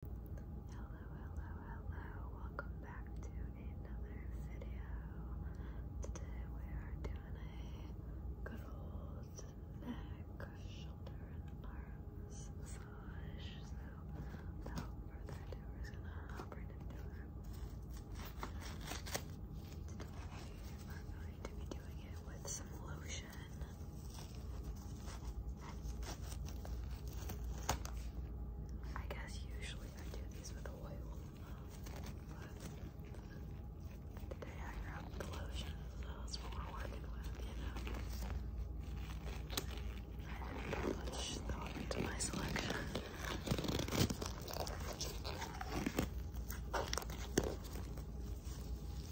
Hello, hello, hello. Welcome back to another video. Today we are doing a good old neck, shoulder, and arms massage. So without further ado, we're gonna hop into it. we are going to be doing it with some lotion. I guess usually I do these with oil, but today I grabbed the lotion, so that's what we're working with, you know. I didn't put much into my selection.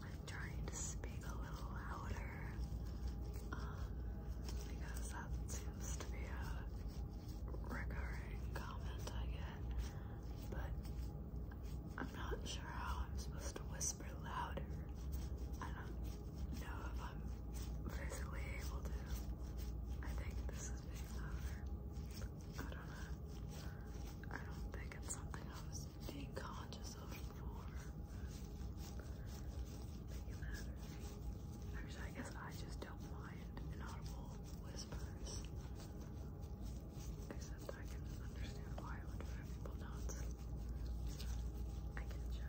I'm trying to speak a little louder um, because that seems to be a recurring comment I get, but I'm not sure how I'm supposed to whisper louder. I don't know if I'm physically able to. I think this is big. louder. I don't know. I don't think it's something I was being conscious of before. Actually, I guess I just don't mind inaudible whispers. Except I can understand why I would find people nuts. I get you. I get you.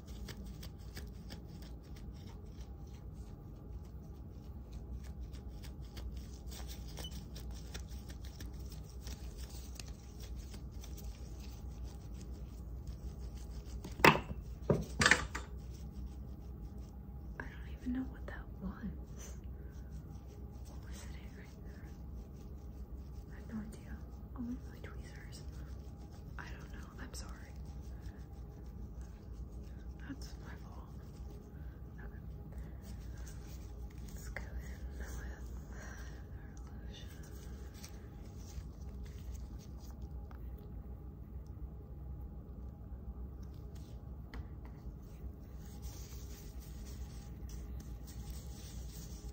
I don't even know what that was. What was it right there? I have no idea. Oh, tweezers. I don't know. I'm sorry. That's my fault. Let's go in with our lotion.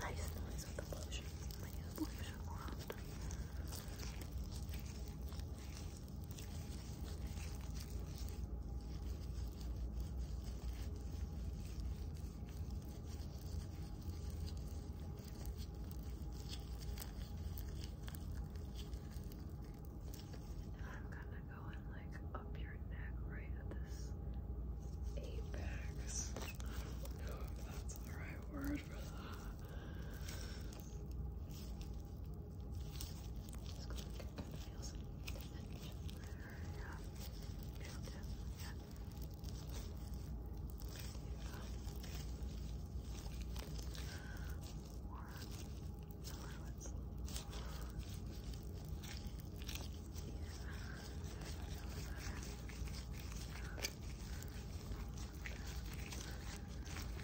Nice noise with the lotion. I use lotion more often. I'm gonna go in like up your neck right at this apex. I don't know if that's the right word for that. It's going to get good feels. Yeah. Build it. Yeah. More silhouettes. Yeah.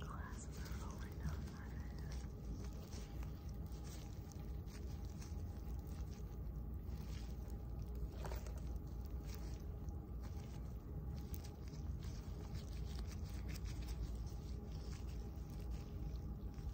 Glasses are falling down my head. Thank you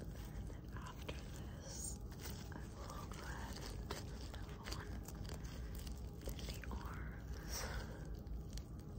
And after this, I will go ahead and move on to the arms. Okay,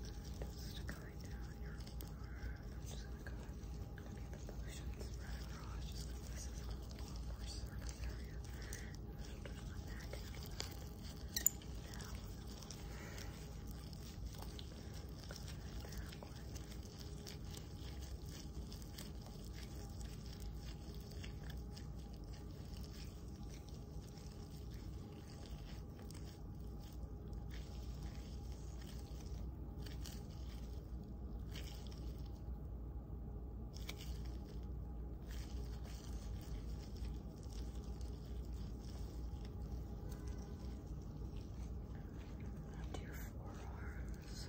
Just going down your arm. I'm just gonna go ahead and look at the motions right across. Just gonna this is a longer surface area. And the shoulders on that down. Down. Good. Now up your forearms.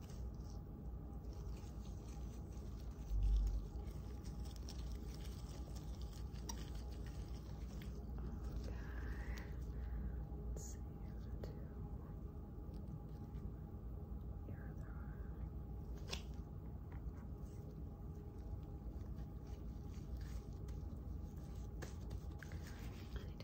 Let's see two. Here they are. I need to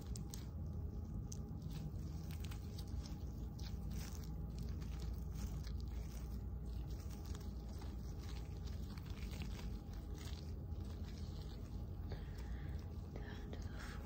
Down to the forearm.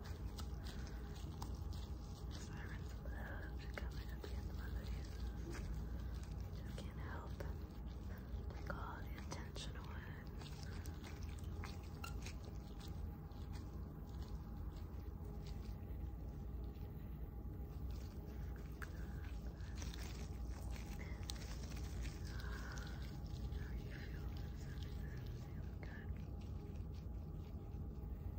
Sirens love coming up in my face. You just can't help take all the attention away. do you feel? Does everything feel Good.